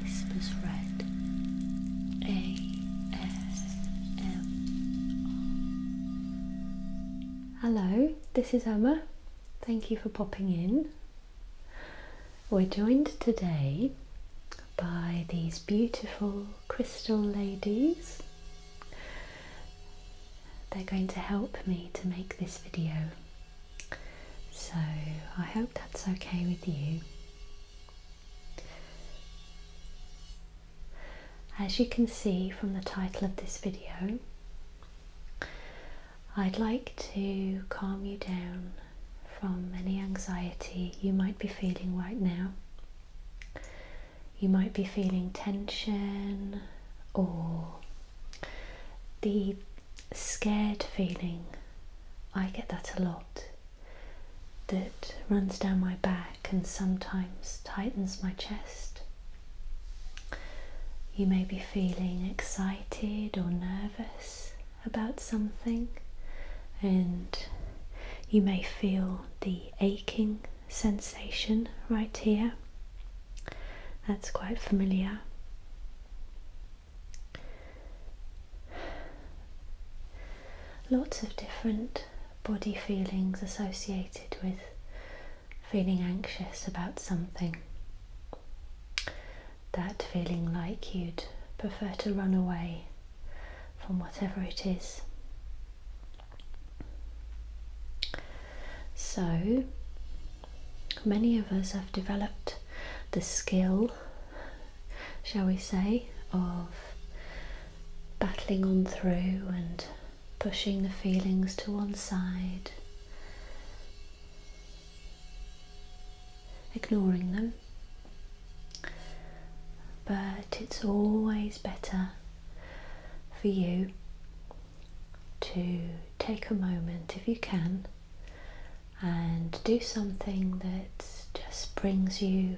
Whispers Red Hello, this is Emma. Thank you for popping in. We're joined today by these beautiful crystal ladies. They're going to help me to make this video. So I hope that's okay with you. As you can see from the title of this video, I'd like to calm you down from any anxiety you might be feeling right now. You might be feeling tension or the scared feeling I get that a lot. That runs down my back and sometimes tightens my chest. You may be feeling excited or nervous about something, and you may feel the aching sensation right here. That's quite familiar. Lots of different body feelings associated with feeling anxious about something. That feeling like you'd prefer to run away from whatever it is. So, Many of us have developed the skill, shall we say, of battling on through and pushing the feelings to one side, ignoring them. But it's always better for you to take a moment, if you can, and do something that just brings you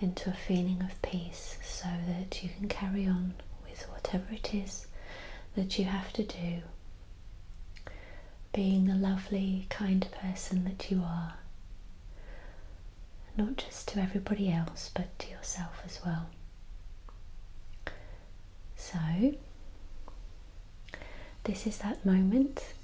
into a feeling of peace so that you can carry on with whatever it is that you have to do. Being the lovely, kind person that you are, not just to everybody else but to yourself as well. So, this is that moment.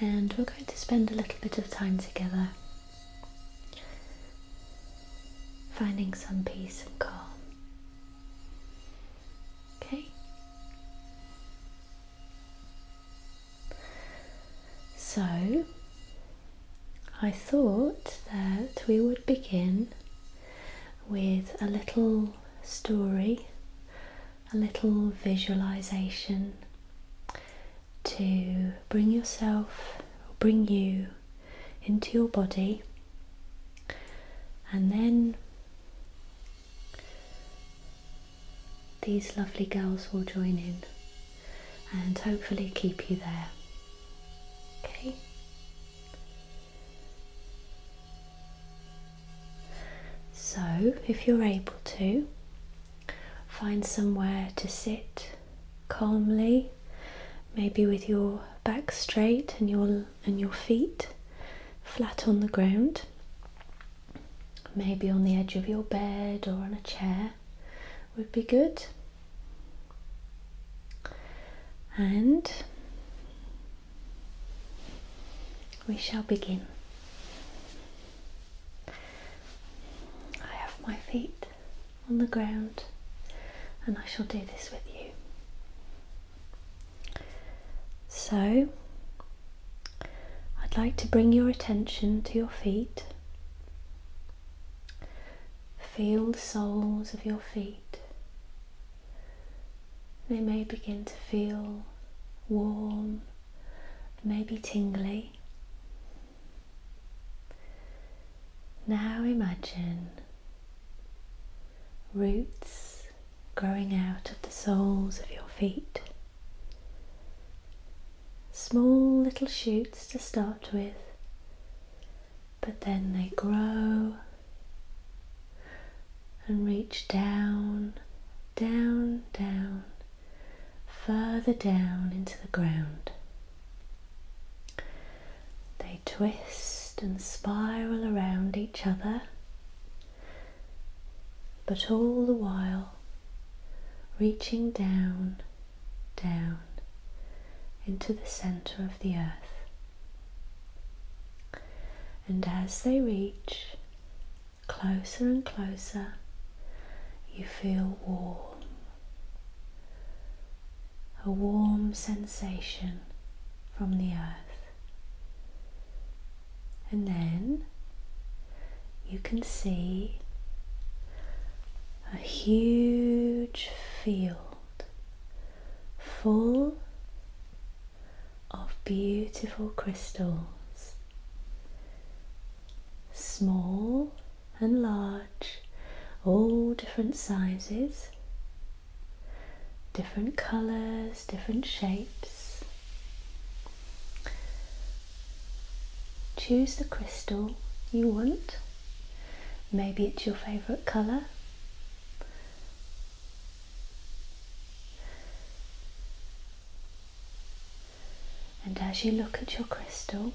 And we're going to spend a little bit of time together finding some peace and calm. Okay? So, I thought that we would begin with a little story, a little visualization to bring yourself, bring you into your body, and then these lovely girls will join in and hopefully keep you there. Okay? So, if you're able to, find somewhere to sit calmly, maybe with your back straight and your and your feet flat on the ground, maybe on the edge of your bed or on a chair would be good. And we shall begin. I have my feet on the ground, and I shall do this with you. So, I'd like to bring your attention to your feet. Feel the soles of your feet they may begin to feel warm, maybe tingly. Now imagine roots growing out of the soles of your feet. Small little shoots to start with, but then they grow and reach down, down, down, further down into the ground. They twist and spiral around each other, but all the while reaching down, down into the centre of the earth. And as they reach closer and closer, you feel warm, a warm sensation from the earth. And then you can see a huge field full of beautiful crystals, small and large, all different sizes, different colours, different shapes. Choose the crystal you want. Maybe it's your favourite colour. And as you look at your crystal,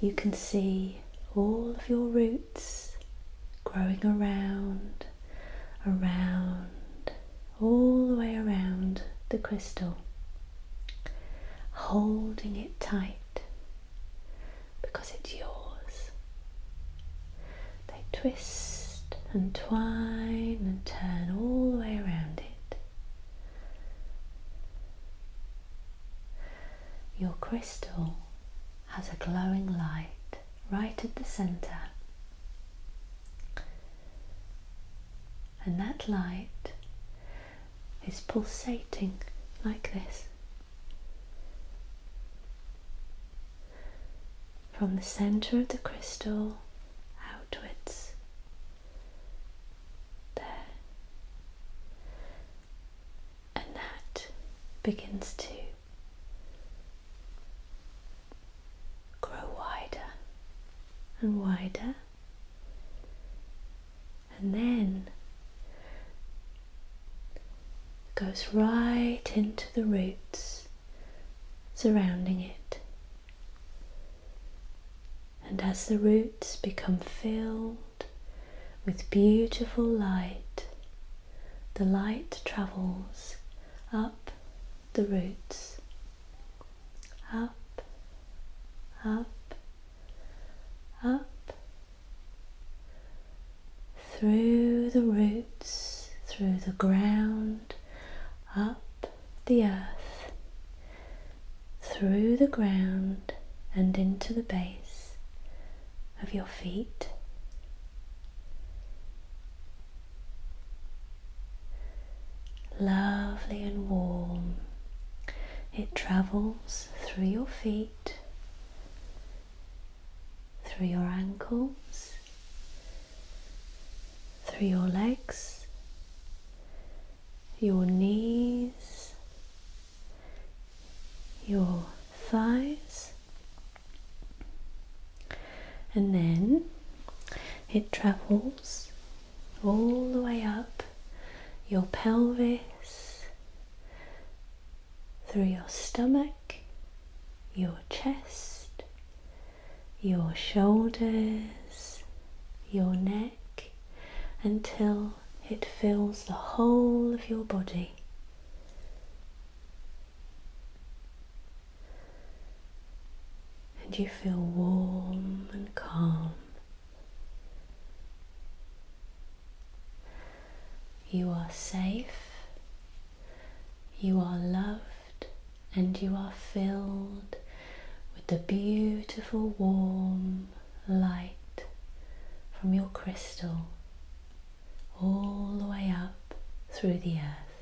you can see all of your roots growing around, around, all the way around the crystal, holding it tight because it's yours. They twist and twine and turn all the way around it. Your crystal has a glowing light right at the centre. And that light is pulsating like this from the center of the crystal outwards. There. And that begins to grow wider and wider. And then goes right into the roots surrounding it. And as the roots become filled with beautiful light, the light travels up the roots, up, up, up, through the roots, through the ground, up the earth, through the ground and into the base of your feet. Lovely and warm. It travels through your feet through your ankles, through your legs, your knees, your thighs, and then it travels all the way up your pelvis, through your stomach, your chest, your shoulders, your neck until it fills the whole of your body. And you feel warm and calm. You are safe, you are loved, and you are filled with the beautiful warm light from your crystal all the way up through the earth.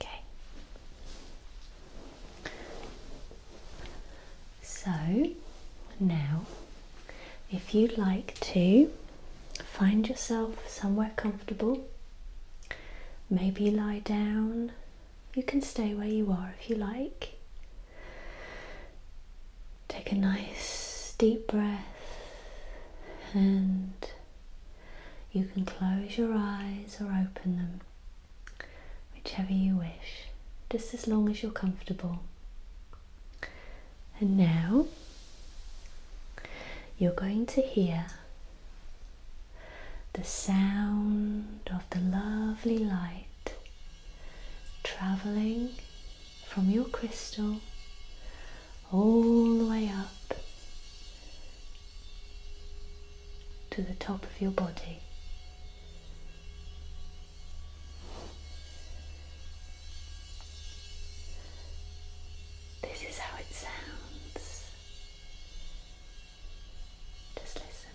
Okay. So now, if you'd like to find yourself somewhere comfortable, maybe lie down, you can stay where you are if you like. Take a nice deep breath and you can close your eyes or open them whichever you wish, just as long as you're comfortable. And now you're going to hear the sound of the lovely light traveling from your crystal all the way up to the top of your body. This is how it sounds. Just listen.